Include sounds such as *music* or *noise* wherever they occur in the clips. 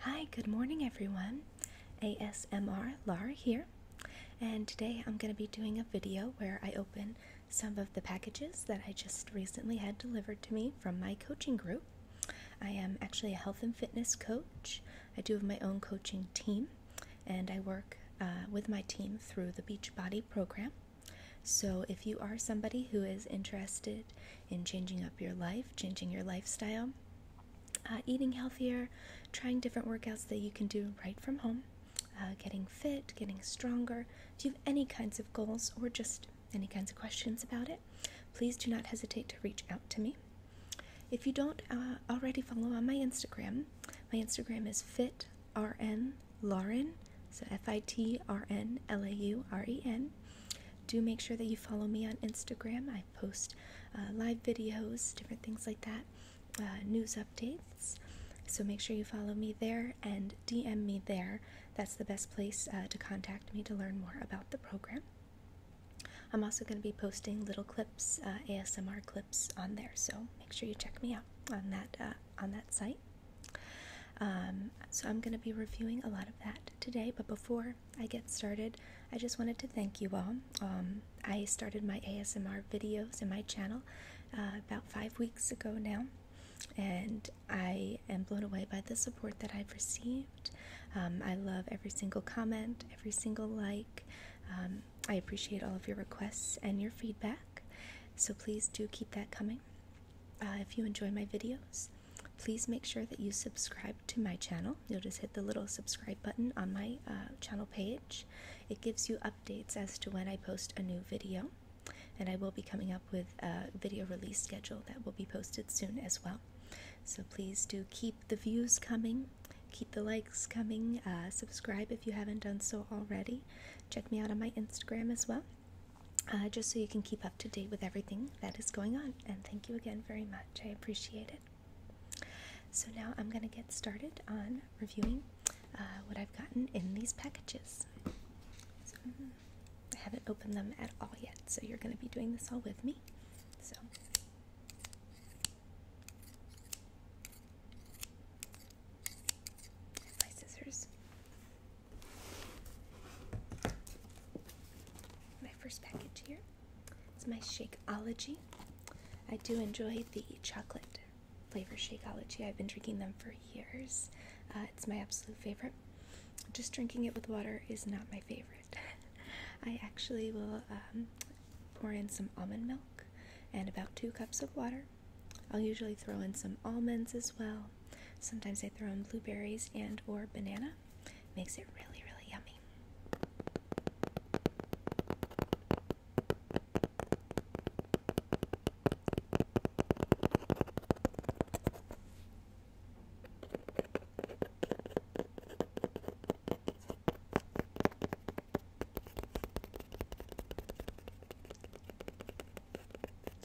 Hi, good morning everyone. ASMR Lara here, and today I'm going to be doing a video where I open some of the packages that I just recently had delivered to me from my coaching group. I am actually a health and fitness coach. I do have my own coaching team, and I work uh, with my team through the Beachbody program. So, if you are somebody who is interested in changing up your life, changing your lifestyle, uh, eating healthier, trying different workouts that you can do right from home, uh, getting fit, getting stronger. If you have any kinds of goals or just any kinds of questions about it, please do not hesitate to reach out to me. If you don't uh, already follow on my Instagram, my Instagram is fitrnlauren, so F I T R N L A U R E N do make sure that you follow me on Instagram. I post uh, live videos, different things like that, uh, news updates. So make sure you follow me there and DM me there. That's the best place uh, to contact me to learn more about the program. I'm also going to be posting little clips, ASMR clips, on there. So make sure you check me out on that on that site. Um, so I'm going to be reviewing a lot of that today. But before I get started, I just wanted to thank you all. Um, I started my ASMR videos in my channel uh, about five weeks ago now, and I am blown away by the support that I've received. Um, I love every single comment, every single like. Um, I appreciate all of your requests and your feedback, so please do keep that coming. Uh, if you enjoy my videos, Please make sure that you subscribe to my channel. You'll just hit the little subscribe button on my uh, channel page. It gives you updates as to when I post a new video, and I will be coming up with a video release schedule that will be posted soon as well. So please do keep the views coming, keep the likes coming, uh, subscribe if you haven't done so already. Check me out on my Instagram as well. Uh, just so you can keep up to date with everything that is going on. And thank you again very much. I appreciate it. So now I'm going to get started on reviewing uh, what I've gotten in these packages. Mm-hmm. I haven't opened them at all yet, so you're going to be doing this all with me. So. My scissors. My first package here is my Shakeology. I do enjoy the chocolate flavor Shakeology. I've been drinking them for years. Uh, it's my absolute favorite. Just drinking it with water is not my favorite. *laughs* I actually will um, pour in some almond milk and about two cups of water. I'll usually throw in some almonds as well. Sometimes I throw in blueberries and or banana. Makes it really, really yummy.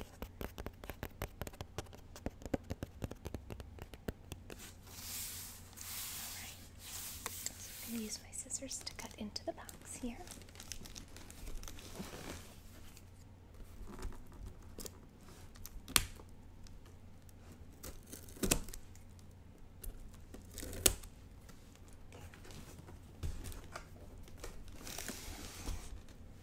Alright, I'm going to use my scissors to cut into the box here.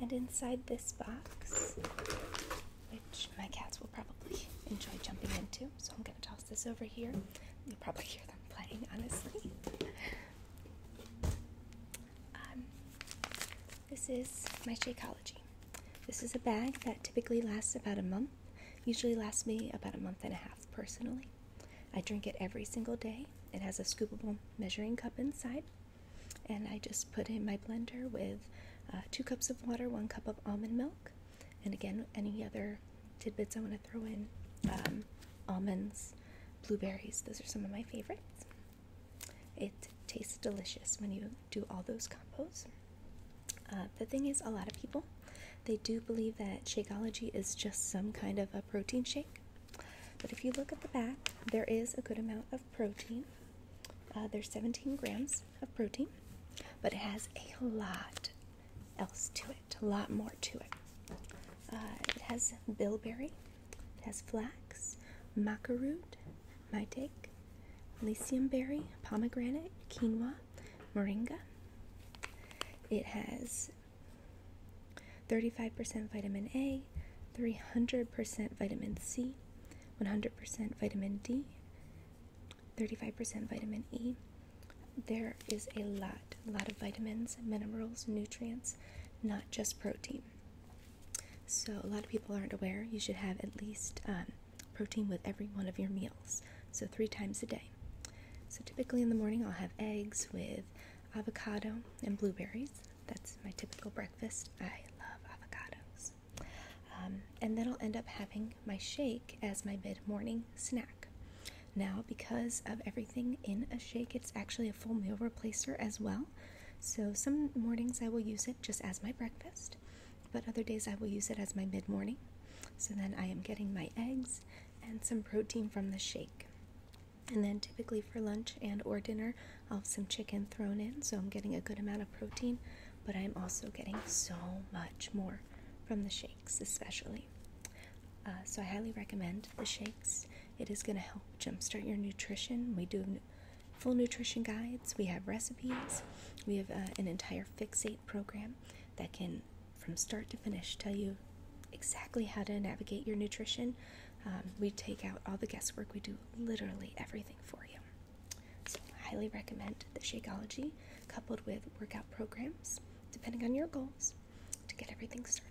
And inside this box, which my cats will probably enjoy jumping into, so I'm going to toss this over here. You'll probably hear them playing, honestly. Um, this is my Shakeology. This is a bag that typically lasts about a month. Usually lasts me about a month and a half personally. I drink it every single day. It has a scoopable measuring cup inside, and I just put in my blender with uh, two cups of water, one cup of almond milk, and again, any other tidbits I want to throw in um, almonds, blueberries, those are some of my favorites. It tastes delicious when you do all those combos. Uh, the thing is, a lot of people they do believe that Shakeology is just some kind of a protein shake. But if you look at the back, there is a good amount of protein. Uh, there's 17 grams of protein, but it has a lot else to it, a lot more to it. Uh, it has bilberry, it has flax, maca root, maitake, lycium berry, pomegranate, quinoa, moringa. It has 35% vitamin A, 300% vitamin C, 100% vitamin D, 35% vitamin E. There is a lot, a lot of vitamins, minerals, nutrients, not just protein. So, a lot of people aren't aware you should have at least um, protein with every one of your meals so three times a day. So typically in the morning, I'll have eggs with avocado and blueberries. That's my typical breakfast. I love avocados. Um, and then I'll end up having my shake as my mid morning snack. Now, because of everything in a shake, it's actually a full meal replacer as well. So, some mornings I will use it just as my breakfast, but other days I will use it as my mid morning. So, then I am getting my eggs and some protein from the shake. And then typically for lunch and or dinner, I'll have some chicken thrown in, so I'm getting a good amount of protein, but I'm also getting so much more from the shakes, especially. Uh, so I highly recommend the shakes. It is going to help jumpstart your nutrition. We do full nutrition guides, we have recipes, we have uh, an entire fixate program that can from start to finish, tell you exactly how to navigate your nutrition. Um, we take out all the guesswork, we do literally everything for you. So, I highly recommend the Shakeology coupled with workout programs, depending on your goals, to get everything started.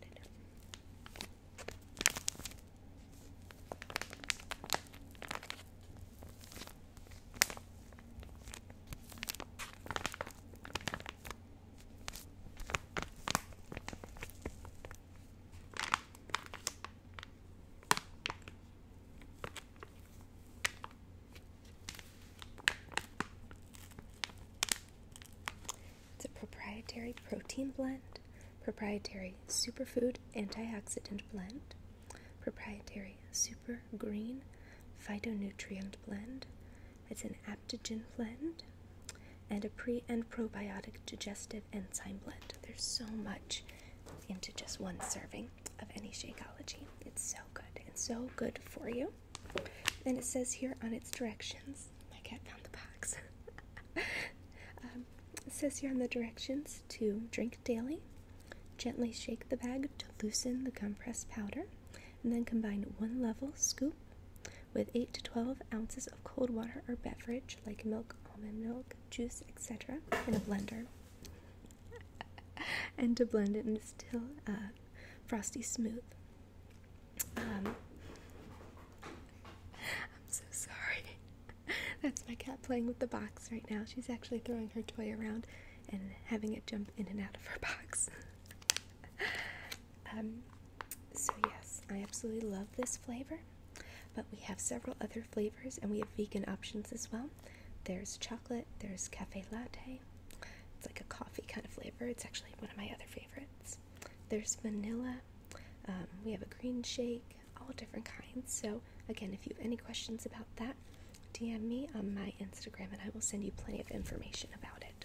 It's a proprietary protein blend, proprietary superfood antioxidant blend, proprietary super green phytonutrient blend, it's an aptogen blend and a pre and probiotic digestive enzyme blend. There's so much into just one serving of any Shakeology. It's so good and so good for you. And it says here on its directions, my cat found the box. *laughs* Um, says here on the directions to drink daily, gently shake the bag to loosen the compressed powder, and then combine one level scoop with 8 to 12 ounces of cold water or beverage like milk, almond milk, juice, etc., in a blender. *laughs* and to blend it until uh, frosty smooth. Um, I'm so sorry. *laughs* That's my cat playing with the box right now. She's actually throwing her toy around and having it jump in and out of her box. *laughs* Um, so yes, I absolutely love this flavor, but we have several other flavors and we have vegan options as well. There's chocolate, there's cafe latte. It's like a coffee kind of flavor. It's actually one of my other favorites. There's vanilla. Um, we have a green shake, all different kinds. So again, if you have any questions about that, DM me on my Instagram and I will send you plenty of information about it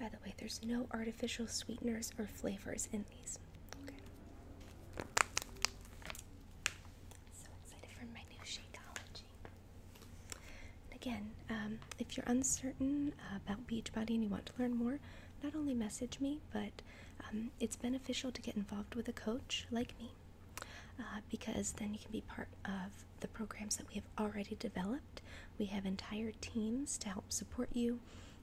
By the way, there's no artificial sweeteners or flavors in these. So excited for my new Shakeology. again, um, if you're uncertain about Beachbody and you want to learn more, not only message me, but um, it's beneficial to get involved with a coach like me uh, because then you can be part of the programs that we have already developed we have entire teams to help support you.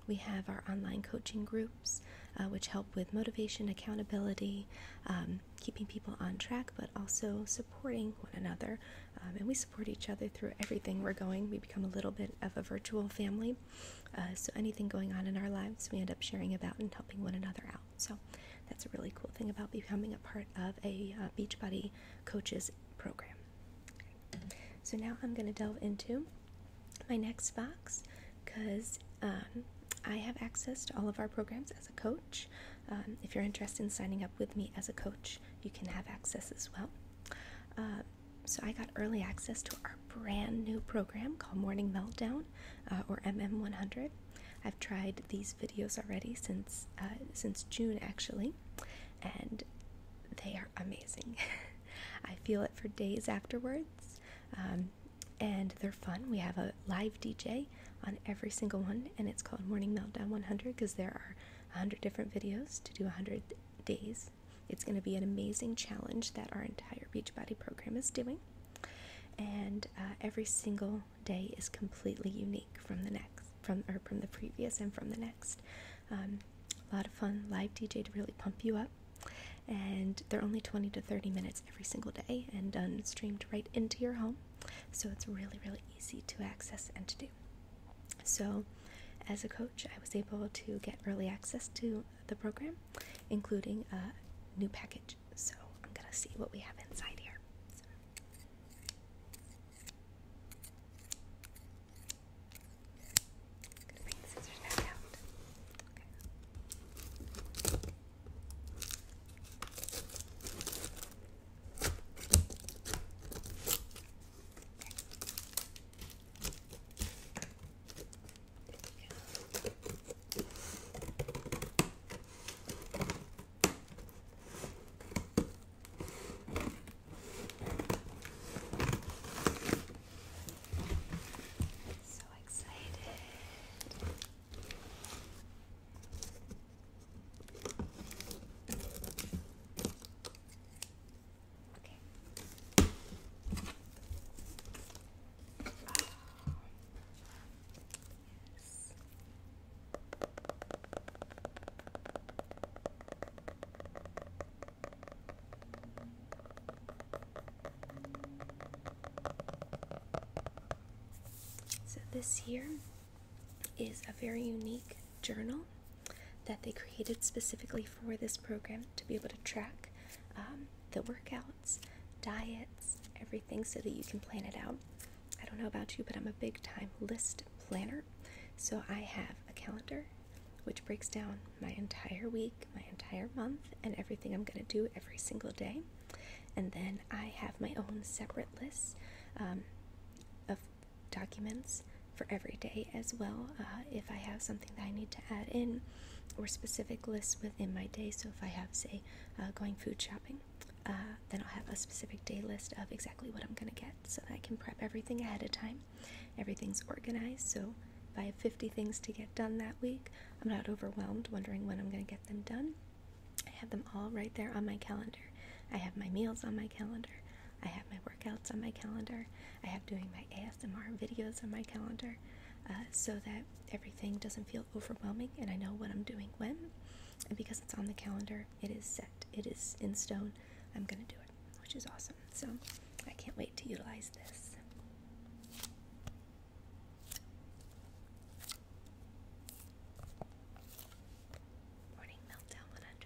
We have our online coaching groups, uh, which help with motivation, accountability, um, keeping people on track, but also supporting one another. Um, and we support each other through everything we're going. We become a little bit of a virtual family. Uh, so anything going on in our lives, we end up sharing about and helping one another out. So that's a really cool thing about becoming a part of a uh, Beachbody coaches program. So now I'm going to delve into my next box because um, I have access to all of our programs as a coach. Um, if you're interested in signing up with me as a coach, you can have access as well. Uh, so I got early access to our brand new program called Morning Meltdown uh, or MM100. I've tried these videos already since uh, since June actually, and they are amazing. *laughs* *laughs* I feel it for days afterwards. Um, and they're fun. We have a live DJ on every single one, and it's called Morning Meltdown 100 because there are 100 different videos to do a 100 days. It's going to be an amazing challenge that our entire Beachbody program is doing. And uh, every single day is completely unique from the next, from or from the previous, and from the next. Um, a lot of fun live DJ to really pump you up. And they're only 20 to 30 minutes every single day and done um, streamed right into your home. So it's really, really easy to access and to do. So, as a coach, I was able to get early access to the program, including a new package. So, I'm going to see what we have inside here. Gonna bring the scissors back out. Okay. Okay. So excited. Okay. Oh. Yes. Okay. So, this here is a very unique journal that they created specifically for this program to be able to track um, the workouts, diets, everything so that you can plan it out. I don't know about you, but I'm a big time list planner. So, I have a calendar which breaks down my entire week, my entire month, and everything I'm going to do every single day. And then I have my own separate list um, of documents for every day as well. Uh, if I have something that I need to add in, or specific lists within my day. So if I have, say, uh, going food shopping, uh, then I'll have a specific day list of exactly what I'm going to get so that I can prep everything ahead of time. Everything's organized, so if I have 50 things to get done that week, I'm not overwhelmed wondering when I'm going to get them done. I have them all right there on my calendar. I have my meals on my calendar. I have my workouts on my calendar. I have doing my ASMR videos on my calendar uh, so that everything doesn't feel overwhelming and I know what I'm doing when. And because it's on the calendar, it is set, it is in stone. I'm going to do it which is awesome. So I can't wait to utilize this. Morning Meltdown 100.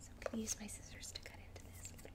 So I'm going to use my scissors to cut into this a little bit.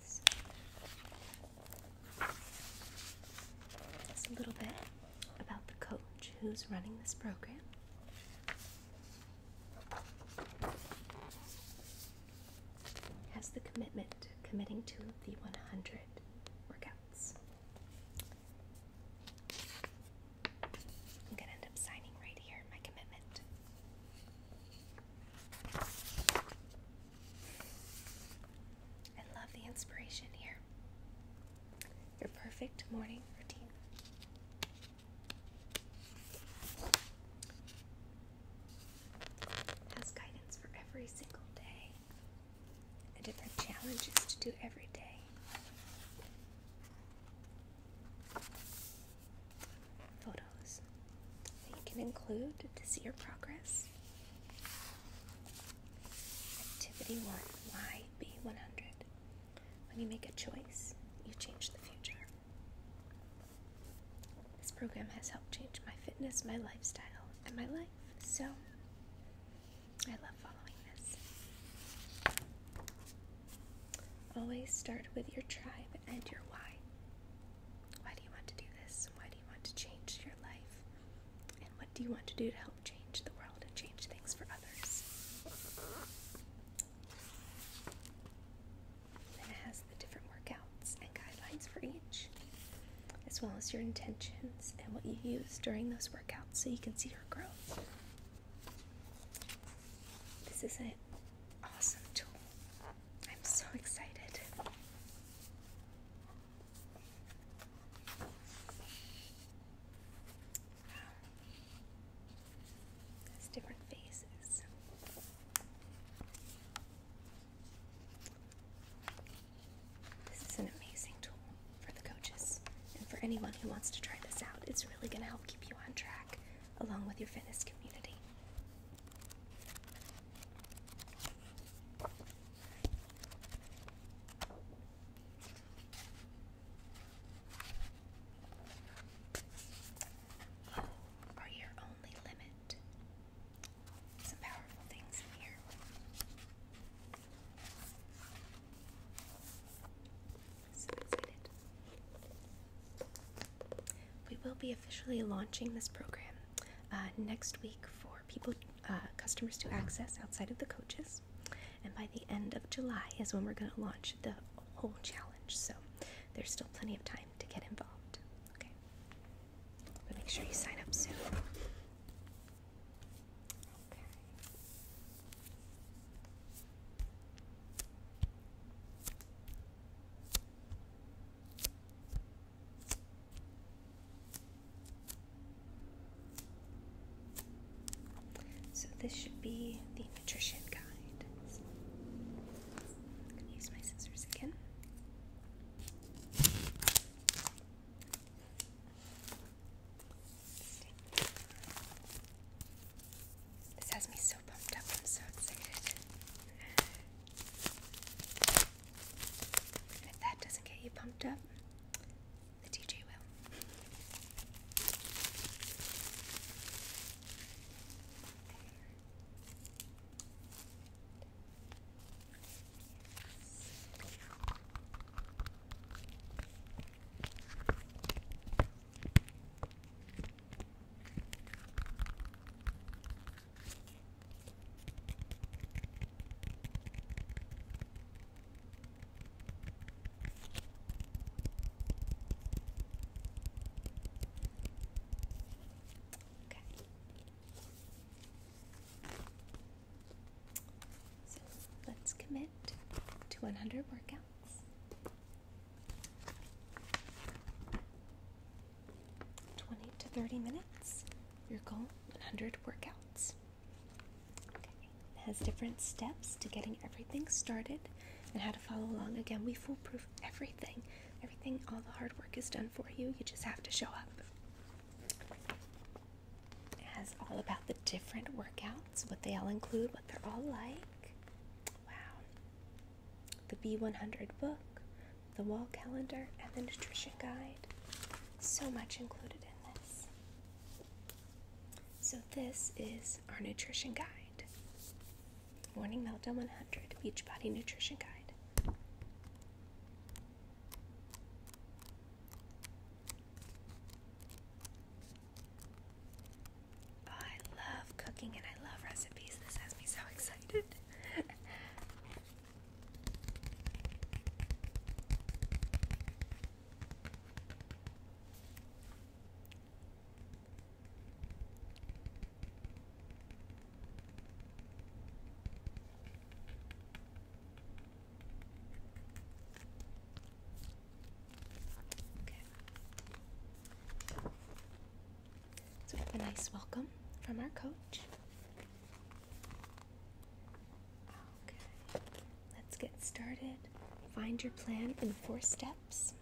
so just a little bit about the coach who's running this program. Has the commitment committing to the 100 workouts. I'm gonna end up signing right here my commitment. I love the inspiration here. Your perfect morning routine. Has guidance for every single day, and different challenges to do every day photos that you can include to see your progress. Activity 1 YB100. When you make a choice, you change the future. This program has helped change my fitness, my lifestyle, and my life, so I love following this. Always start with your tribe and your why. Why do you want to do this? Why do you want to change your life? And what do you want to do to help change the world and change things for others? Then it has the different workouts and guidelines for each, as well as your intentions and what you use during those workouts so you can see your growth. This is it awesome tool. I'm so excited. Wow. There's different faces. This is an amazing tool for the coaches and for anyone who wants to try this out. It's really going to help keep you on track along with your fitness community. are your only limit. Some powerful things in here. We will be officially launching this program uh, next week for people, uh, customers to access outside of the coaches. And by the end of July is when we're going to launch the whole challenge. So there's still plenty of time to get involved. Okay. But make sure you sign up soon. Okay. So, this should be the nutrition guide. I'm going to use my scissors again. This has me so pumped up. I'm so excited. if that doesn't get you pumped up, the DJ will. Okay. So let's commit to 100 workouts 20 to 30 minutes. Your goal 100 workouts. It has different steps to getting everything started and how to follow along. Again, we foolproof everything. Everything, all the hard work is done for you. You just have to show up. It has all about the different workouts, what they all include, what they're all like. Wow. The B100 book, the wall calendar, and the nutrition guide. So much included in this. So, this is our nutrition guide Morning Meltdown 100 Beachbody Nutrition Guide. I love cooking and I love recipes. This has me so excited. So we have a nice welcome from our coach. Okay. Let's get started. Find your plan in four steps.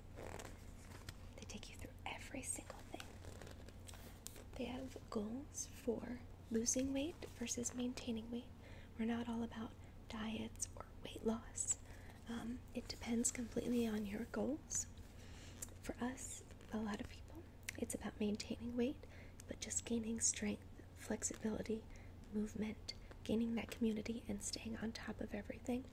They take you through every single thing. They have goals for losing weight versus maintaining weight. We're not all about diets or weight loss. Um, it depends completely on your goals. For us, a lot of people, it's about maintaining weight, but just gaining strength, flexibility, movement, gaining that community, and staying on top of everything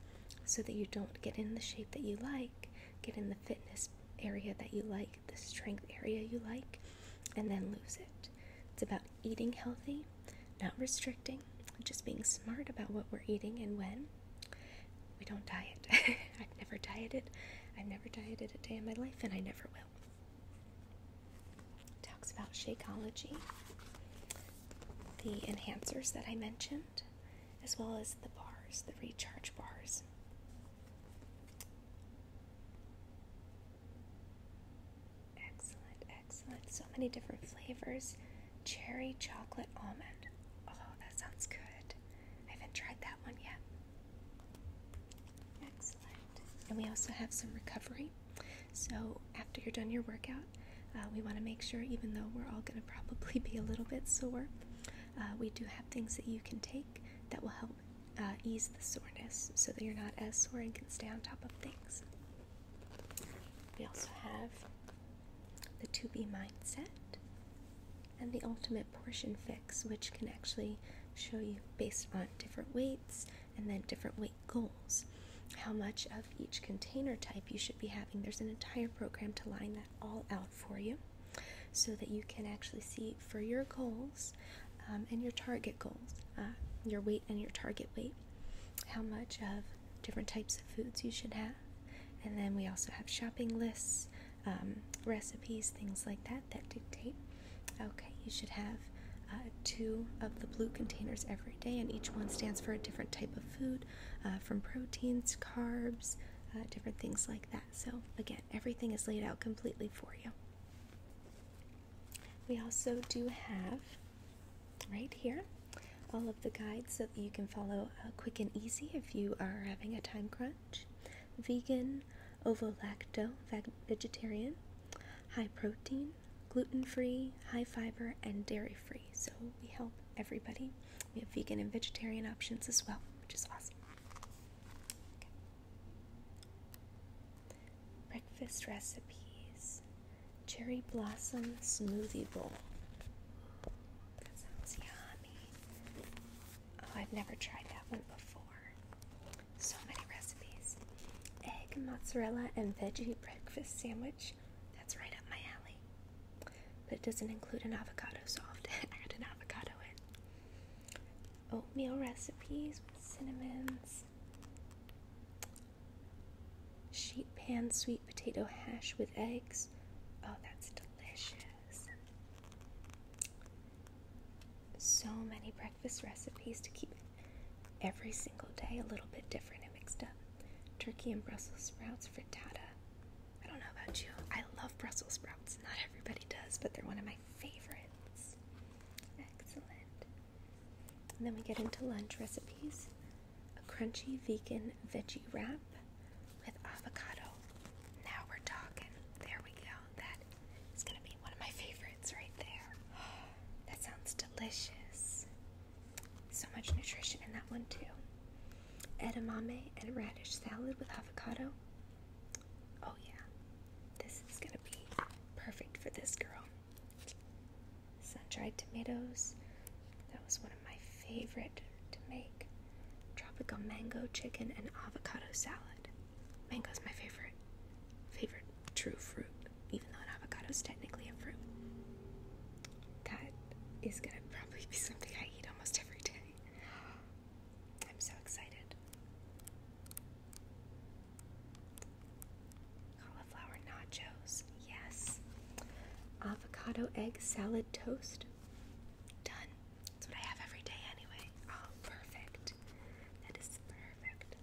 so that you don't get in the shape that you like, get in the fitness area that you like, the strength area you like, and then lose it. It's about eating healthy not restricting, just being smart about what we're eating and when. We don't diet. *laughs* I've never dieted. I've never dieted a day in my life, and I never will. Talks about Shakeology, the enhancers that I mentioned, as well as the bars, the recharge bars. Excellent, Excellent. So many different flavors. Cherry chocolate almond. Oh, that sounds good. I haven't tried that one yet. Excellent. And we also have some recovery. So after you're done your workout, uh, we want to make sure, even though we're all going to probably be a little bit sore, uh, we do have things that you can take that will help uh, ease the soreness so that you're not as sore and can stay on top of things. We also have the To Be Mindset and the Ultimate Portion Fix, which can actually show you based on different weights and then different weight goals how much of each container type you should be having. There's an entire program to line that all out for you so that you can actually see for your goals um, and your target goals, uh, your weight and your target weight, how much of different types of foods you should have. And then we also have shopping lists, um, recipes, things like that that dictate. Okay, you should have uh, two of the blue containers every day, and each one stands for a different type of food uh, from proteins, carbs, uh, different things like that. So, again, everything is laid out completely for you. We also do have right here. All of the guides that you can follow uh, quick and easy if you are having a time crunch. Vegan, ovo-lacto, vegetarian, high protein, gluten-free, high fiber, and dairy-free. So we help everybody. We have vegan and vegetarian options as well, which is awesome. Breakfast recipes cherry blossom smoothie bowl. That sounds yummy. Oh, I've never tried that one before. So many recipes. Egg, mozzarella, and veggie breakfast sandwich. That's right up my alley. But it doesn't include an avocado, so I'll *laughs* add an avocado in. Oatmeal recipes with cinnamon. Sheet pan sweet potato hash with eggs. Oh, that's delicious. So many breakfast recipes to keep every single day a little bit different and mixed up. Turkey and Brussels sprouts frittata. I don't know about you, I love Brussels sprouts. Not everybody does, but they're one of my favorites. Excellent. And then we get into lunch recipes a crunchy vegan veggie wrap with avocado. Now we're talking. There we go. That is going to be one of my favorites right there. *gasps* that sounds delicious. So much nutrition in that one, too. Edamame and radish salad with avocado. Oh, yeah. This is going to be perfect for this girl sun-dried tomatoes. That was one of my favorite to make. Tropical mango chicken and avocado salad. Mango is my favorite, favorite true fruit, even though an avocado is technically a fruit. That is gonna *laughs* probably be something I eat almost every day. *gasps* I'm so excited. Cauliflower nachos, yes. Avocado egg salad toast, done. That's what I have every day anyway. Oh, perfect. That is perfect.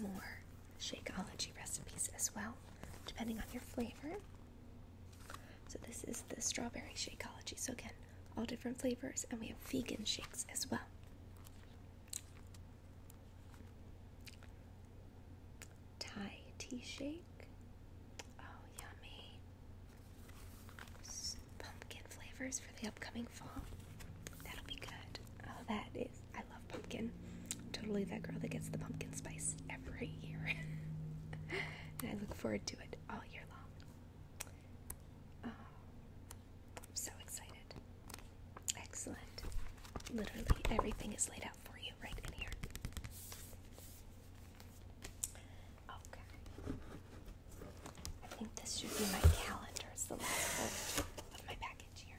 More Shakeology recipes as well, depending on your flavor. So, this is the strawberry Shakeology. So, again, all different flavors, and we have vegan shakes as well. Thai tea shake. Oh, yummy. pumpkin flavors for the upcoming fall. That'll be good. Oh, that is. I love pumpkin. Totally that girl that gets the pumpkin spice every year. *laughs* and I look forward to it all year long. Oh, I'm so excited. Excellent. Literally everything is laid out for you right in here. Okay. I think this should be my calendar. It's the last part my package here.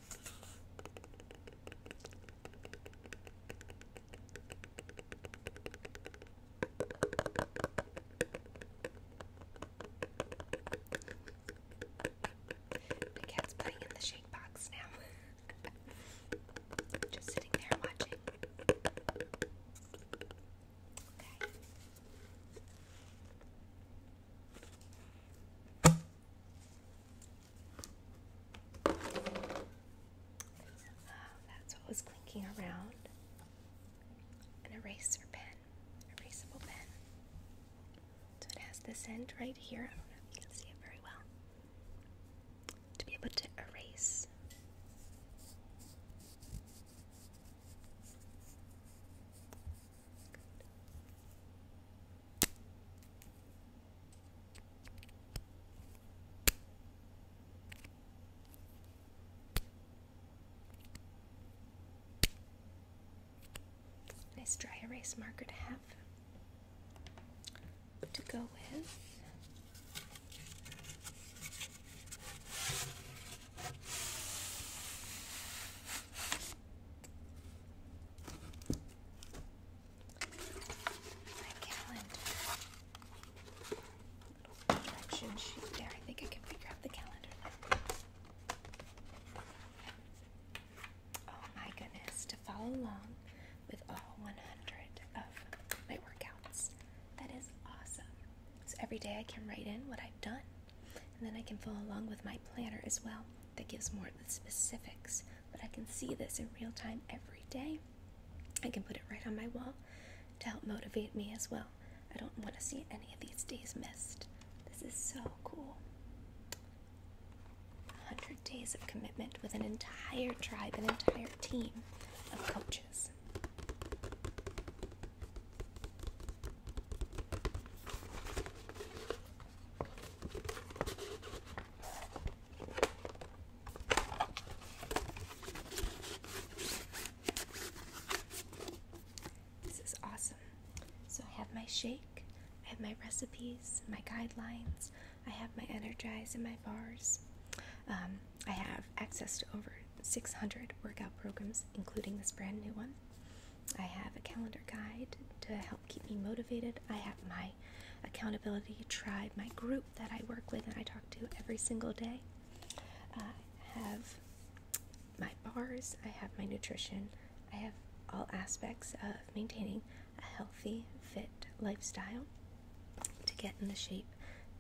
The cat's playing in the shake box now. *laughs* Just sitting there watching. Okay that's what was clinking around. An eraser pen, erasable pen. So it has this end right here. I don't know if you can see it very well. To be able to erase. Nice dry erase marker to have to go with. Oh my goodness, to follow along with all 100 of my workouts. That is awesome. So every day I can write in what I've done, and then I can follow along with my planner as well that gives more of the specifics, but I can see this in real time every day. I can put it right on my wall to help motivate me as well. I don't want to see any of these days missed. This is so cool. 100 days of commitment with an entire tribe, an entire team of coaches. This is awesome. So I have my shake, I have my recipes, my guidelines, I have my energize and my bars. Um, I have access to over 600 workout programs, including this brand new one. I have a calendar guide to help keep me motivated. I have my accountability tribe, my group that I work with and I talk to every single day. I have my bars, I have my nutrition, I have all aspects of maintaining a healthy, fit lifestyle to get in the shape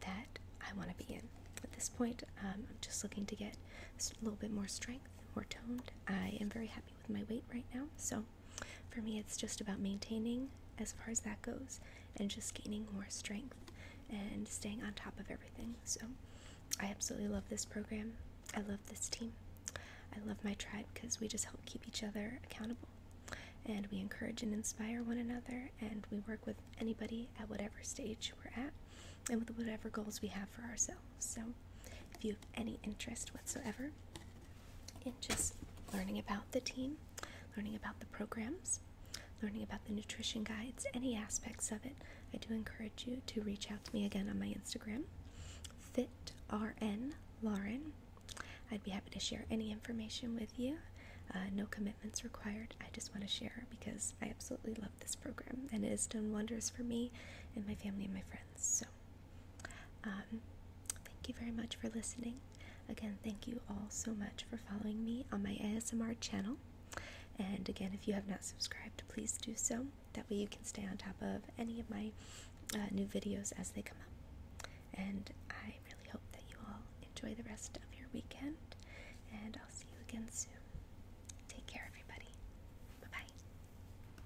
that I want to be in. At this point, um, I'm just looking to get a little bit more strength, more toned. I am very happy with my weight right now, so for me, it's just about maintaining as far as that goes and just gaining more strength and staying on top of everything. So, I absolutely love this program. I love this team. I love my tribe because we just help keep each other accountable and we encourage and inspire one another and we work with anybody at whatever stage we're at and with whatever goals we have for ourselves. So, if you have any interest whatsoever, and just learning about the team, learning about the programs, learning about the nutrition guides, any aspects of it. I do encourage you to reach out to me again on my Instagram, FitRN Lauren. I'd be happy to share any information with you. Uh, no commitments required. I just want to share because I absolutely love this program and it has done wonders for me and my family and my friends. So um, thank you very much for listening. Again, thank you all so much for following me on my ASMR channel. And again, if you have not subscribed, please do so. That way, you can stay on top of any of my uh, new videos as they come up. And I really hope that you all enjoy the rest of your weekend. And I'll see you again soon. Take care, everybody. Bye bye.